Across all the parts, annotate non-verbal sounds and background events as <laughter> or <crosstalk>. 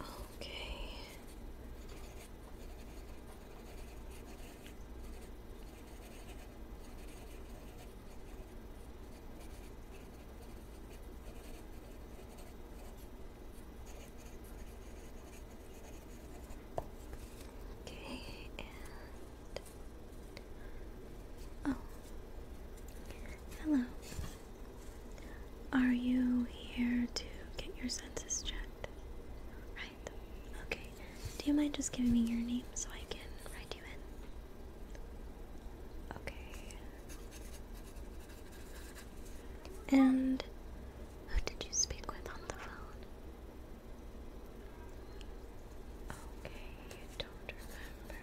Okay. Okay, and Oh. Hello. Are you here to get your senses checked? Right. Okay. Do you mind just giving me your name so I can write you in? Okay. And who did you speak with on the phone? Okay, you don't remember.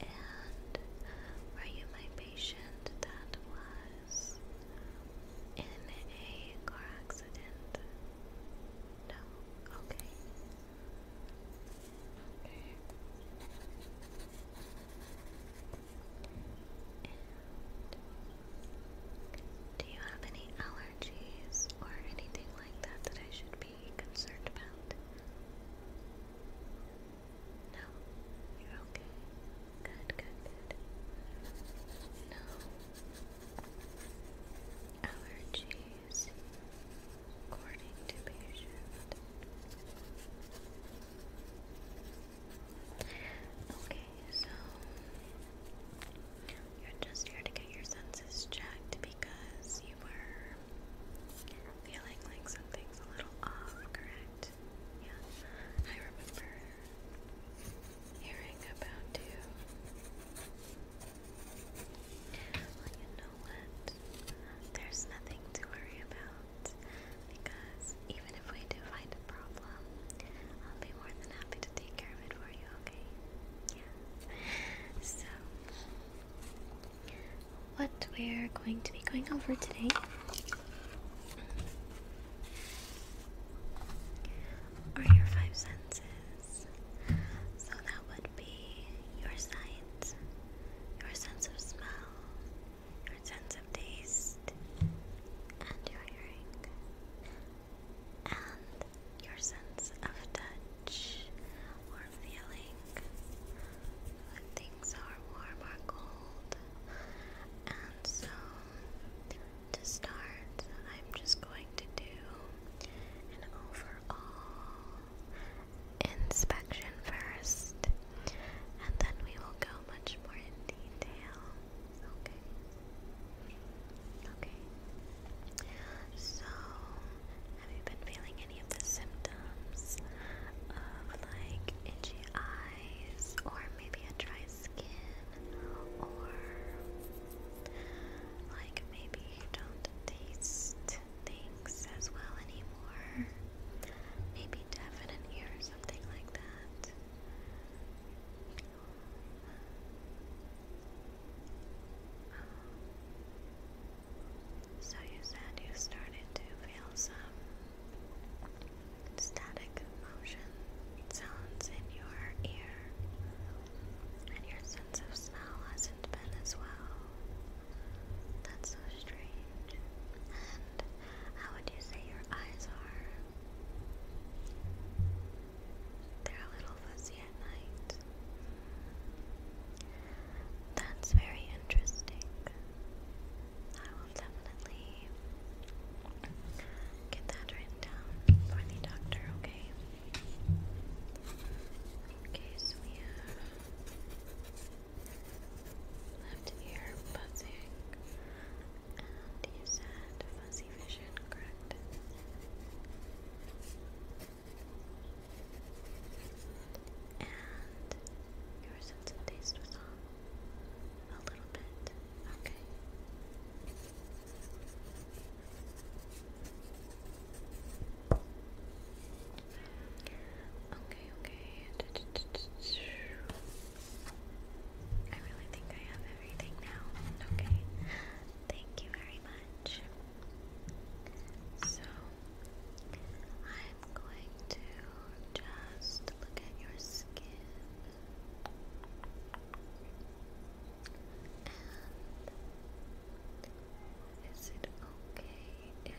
And were you my patient that was in a car accident? No? Okay. Okay. Do you have any allergies or anything like that that I should be concerned about? No, you're okay. Good, good, good. No allergies, according to patient. Okay, so you're just here to get your senses checked because you were feeling like something's a little off, correct? Yeah, I remember hearing about you. Well, you know what? There's nothing to worry about because even if we do find what we're going to be going over today are your five senses. So, that would be your sight, your sense of smell, your sense of taste, and your hearing and your sense of touch or feeling when things are warm or cold. And so, to start, I'm just going to do an overall inspection first, and then we will go much more in detail Okay. Okay. So, have you been feeling any of the symptoms of like itchy eyes, or maybe a dry skin, or like maybe you don't taste things as well anymore? Maybe deaf in an ear something like that. So you said you started to feel some static motion sounds in your ear, and your sense of smell hasn't been as well. That's so strange. And how would you say your eyes are? They're a little fuzzy at night. That's very interesting. I will definitely get that written down for the doctor, okay? Okay, so we have left ear buzzing, and you said fuzzy vision, correct? And your sense of taste was off a little bit. Okay. Okay, okay. I really think I have everything now. Okay. Thank you very much. So, I'm going to just look at your skin is it okay if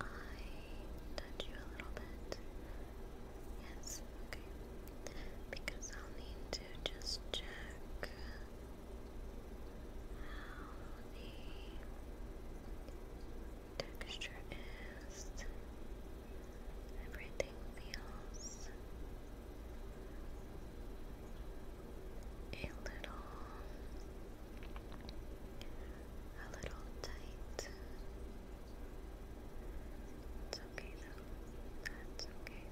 I touch you a little bit? Yes, okay. Because I'll need just check how the texture is. Everything feels a little a little tight. It's okay though. That's okay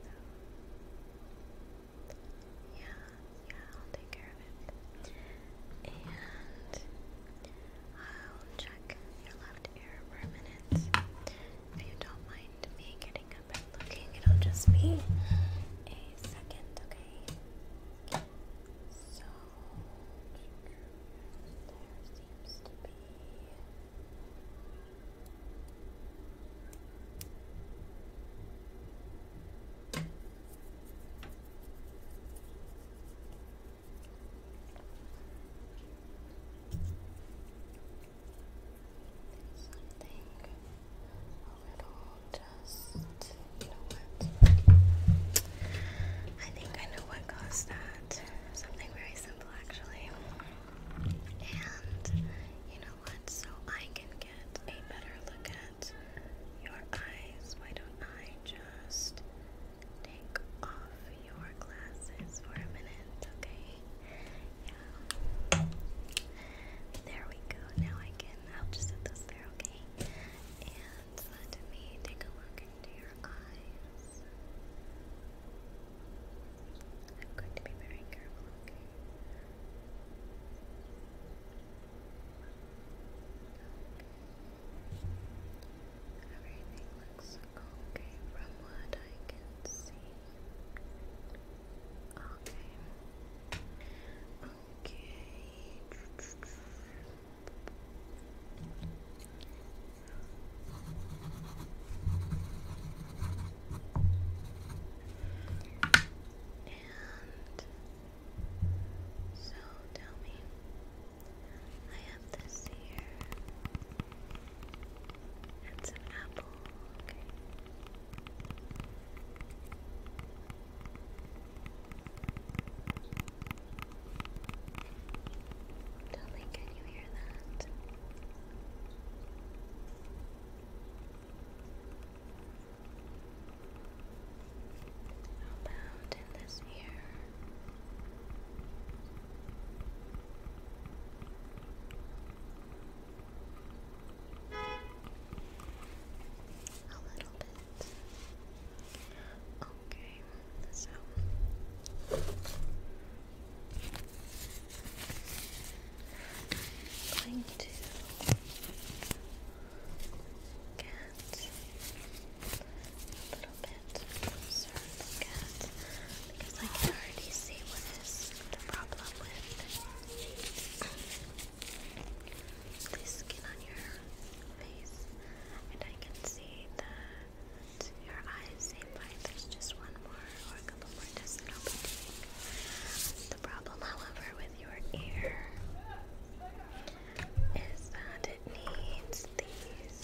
Yeah, yeah, I'll take care of it. And I'll check your left ear for a minute. If you don't mind me getting up and looking, it'll just be a second, okay? So, there seems to be. Something a little just, you know what? I think I know what caused that. Something very simple, actually. And you know what? So I can get a better look at your eyes. Why don't I just take off your glasses for a minute, okay? Yeah. There we go. Now I can. I'll just set this there, okay? And let me take a look into your eyes. I'm going to be very careful, okay? Everything looks okay from what I can see. Okay. Okay. And so tell me, I have this here and some apple. Tell me, can you hear that? about in this ear? A little bit. Okay, so I'm going to get a little bit closer I can already see what is the problem with the skin on your face, and I can see that your eyes. There's just one more or a The problem, however, with your ear is that it needs these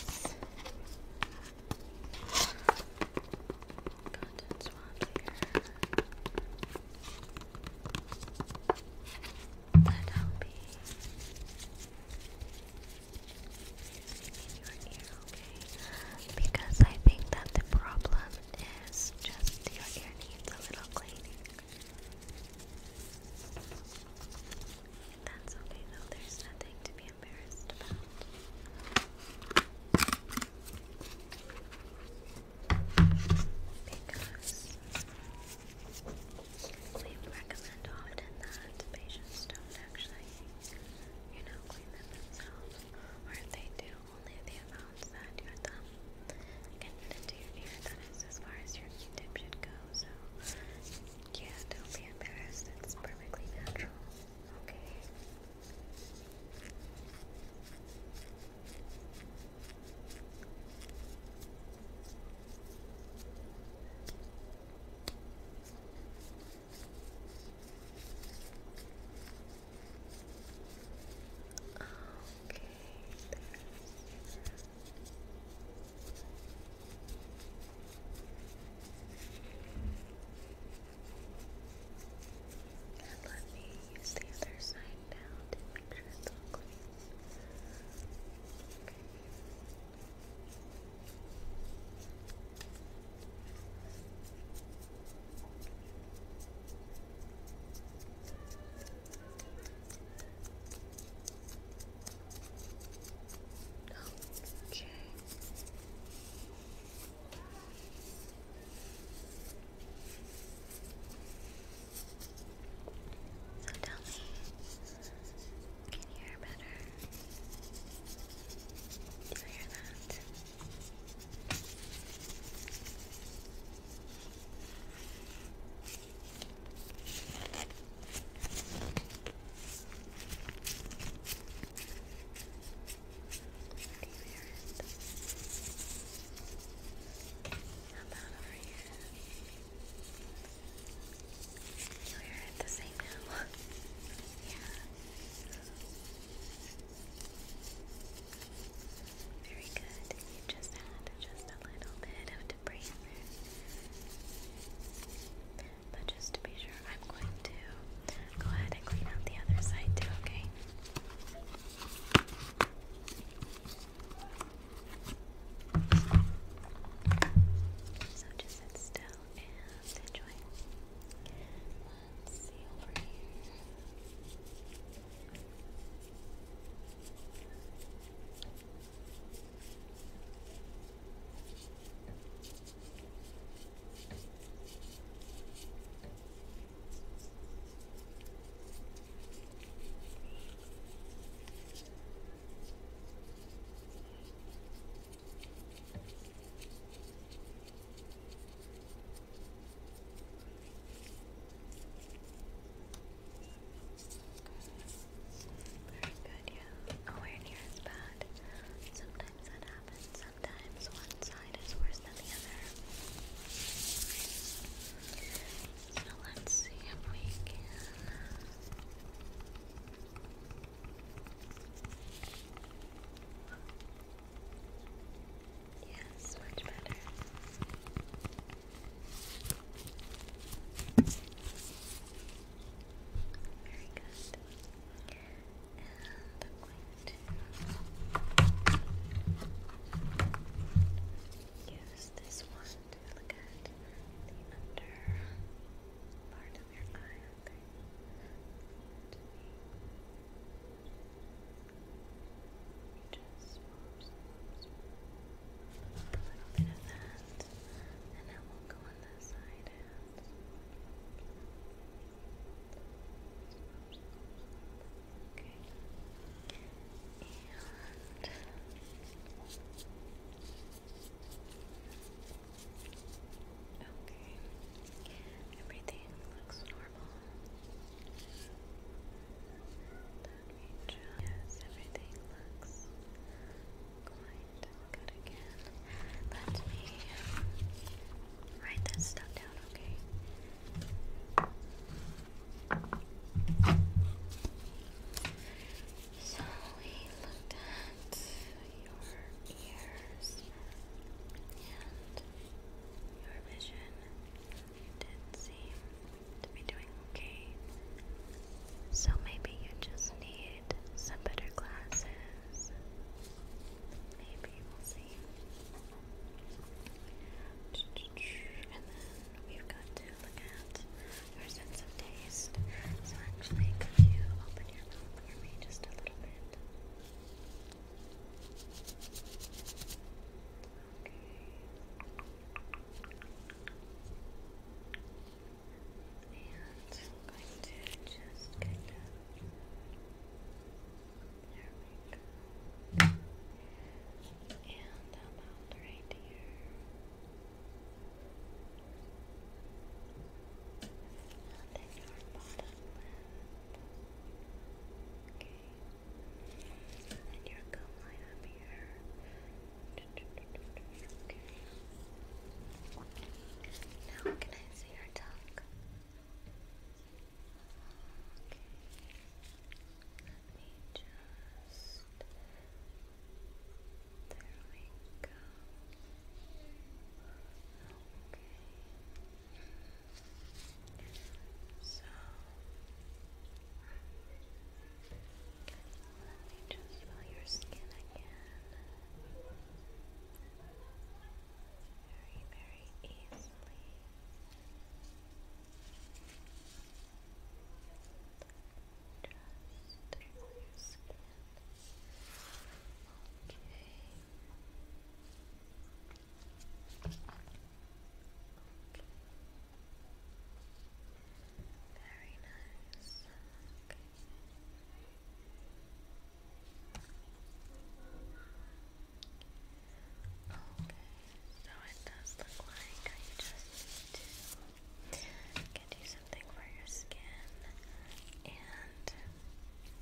cotton swabs here that I'll your ear okay? Because I think that the problem is just your ear needs a little cleaning. That's okay though, there's nothing to be embarrassed about. Because we recommend often that patients don't actually, you know, clean themselves, or if they do, only the amount that your thumb can into your ear. That is as far as your q should go. So, yeah, don't be embarrassed. It's perfectly natural. Okay. Okay, there's and let me use the other side now to make sure it's all clean. Okay. Okay. So tell me, can you hear better? Do you hear that? over here? We're at the same now. <laughs> yeah. Very good. You just had just a little bit of debris there. But just to be sure, I'm going to go ahead and clean out the other side too, okay? So just sit still and enjoy. Let's see over here. Very good, yeah. Awareness is bad. Sometimes that happens. Sometimes one side is worse than the other. So let's see if we can. Yes, much better. Very good. I'm going to use this one to look at the under part of your eye, just swap, A little bit of that. And now we'll go on this side um, Okay. And Okay. Everything looks normal normal. Yes, everything looks good again. Let me write that stuff down, okay? So we looked at your ears and your vision did seem to be doing okay. So maybe you just need some better glasses. Maybe we'll see. And then we've got to look at your sense of taste. So actually, could you open your mouth for me just a little bit? just kind of there we go. And about right here. And then your bottom Okay. And your gum line up here. Now, can I see your tongue? Okay. Let me just. There we go. Okay. So let me just feel your skin again. Very, very easily. Just feel your skin. Okay. Very nice. Okay. so it does look like I just need to get you something for your skin, and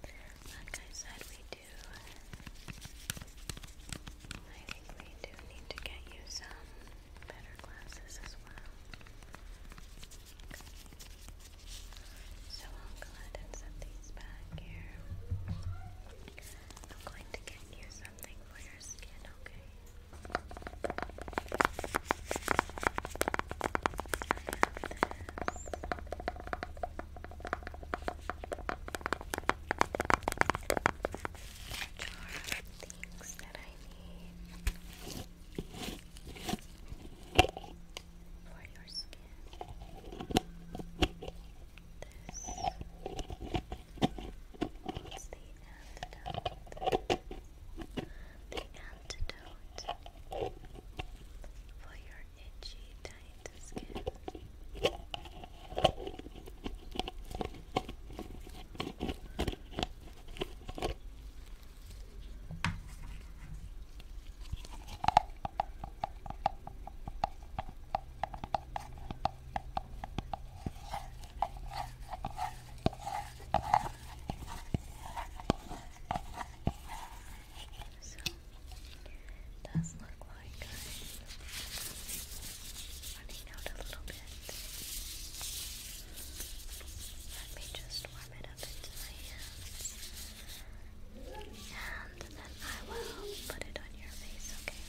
like I said, we do. I think we do need to get you some better glasses as well. So I'll go ahead set these back here. I'm going to get you something for your skin, okay? jar of things that I need for your skin. This is the antidote. The antidote for your itchy, tight skin does look like I'm running out a little bit. Let me just warm it up into my hands. And then I will put it on your face, okay?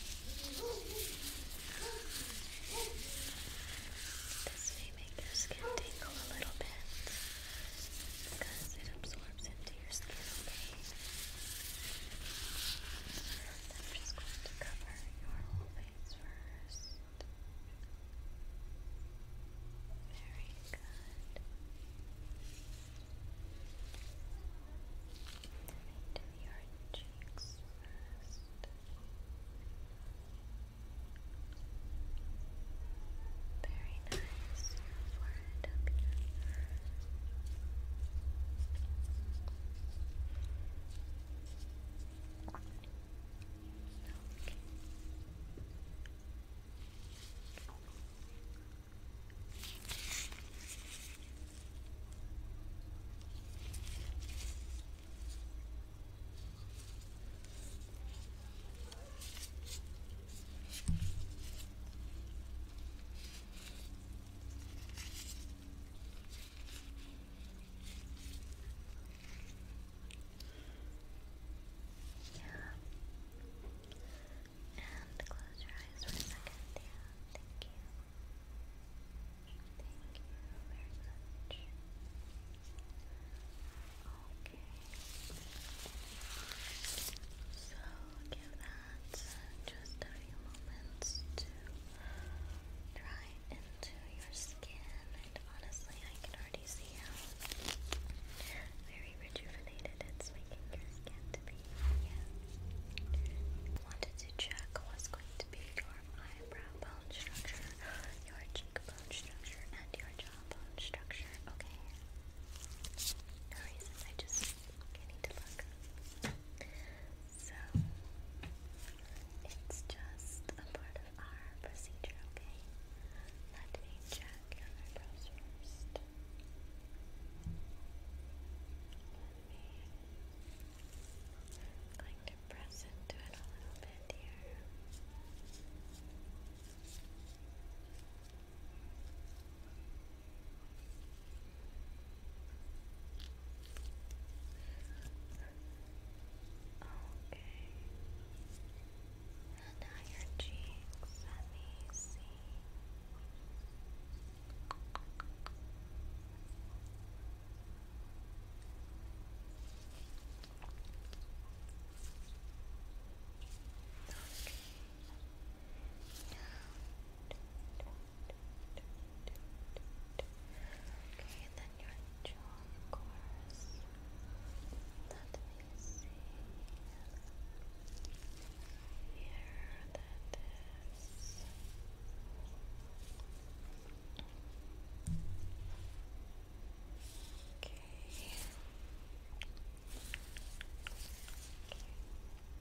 This may make your skin tingle a little bit because it absorbs into your skin, I'm just going to cover your whole face first. Very good. into your cheeks first. Very nice forehead up Okay. Yeah. And close your eyes for a second. Yeah, thank you. Thank you very much. Okay. So give that just a few moments to dry into your skin. And honestly, I can already see how very rejuvenated it's making your skin to be. Wanted to check what's going to be your eyebrow bone structure, your cheekbone structure, and your jawbone structure. Okay. No reason I just I need So, it's just a part of our procedure, okay? Let me check your eyebrows first. Let me. i to press into it a little bit here. Okay. And now your cheeks. Let me see. Okay. Now, Okay, and then your jaw, course. Let Here, that is. Okay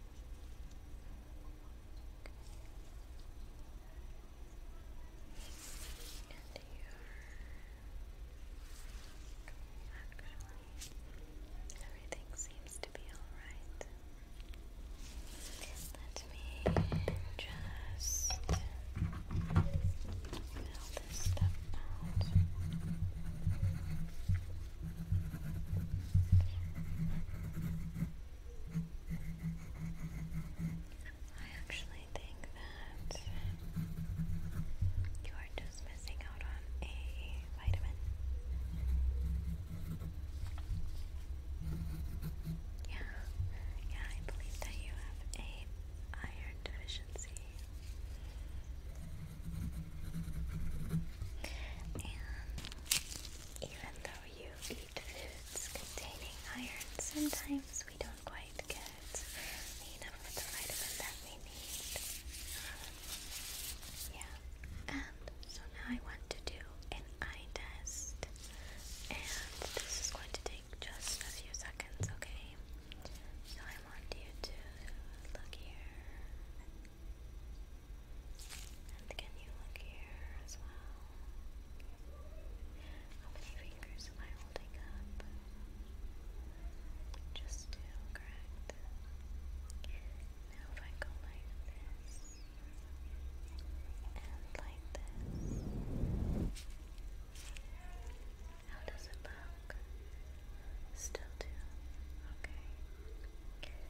actually, everything seems to be alright. Let me just fill this stuff out. I actually think that you are just missing out on a vitamin. Yeah, yeah, I believe that you have a iron deficiency. And even though you eat foods containing iron, sometimes we don't quite get enough of the vitamin that we need. Yeah. And so now I want to do an eye test. And this is going to take just a few seconds, okay? So I want you to look here. And can you look here as well? How many fingers am I holding up? Just two, correct? Now if I go like this, and like this, how does it look? Still two, okay.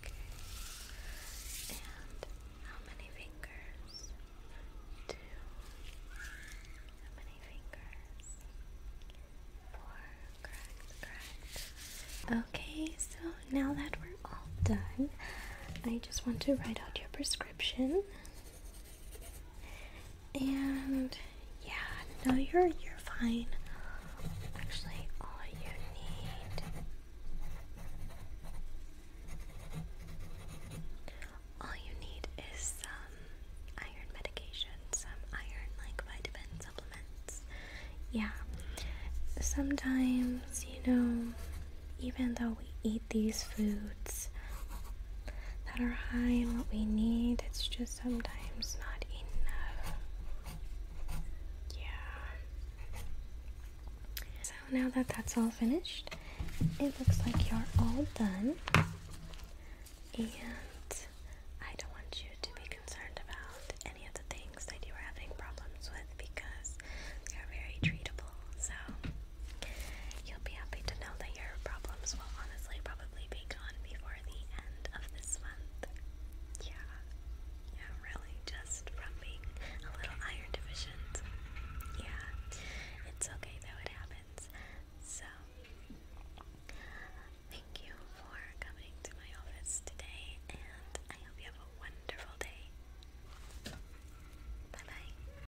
Okay. And how many fingers? Two. How many fingers? Four. Okay, so now that we're all done, I just want to write out your prescription. And yeah, no, you're you're fine. Actually, all you need, all you need is some iron medication, some iron like vitamin supplements. Yeah, sometimes you know, even though we eat these foods that are high in what we need. It's just sometimes not enough. Yeah. So now that that's all finished, it looks like you're all done. And I don't want you to be concerned about any of the things that you were having problems with because they're very treatable. So You'll be happy to know that your problems will honestly probably be gone before the end of this month. Yeah, yeah, really, just from being a little iron deficient. Yeah, it's okay though, it happens. So, thank you for coming to my office today, and I hope you have a wonderful day. Bye bye.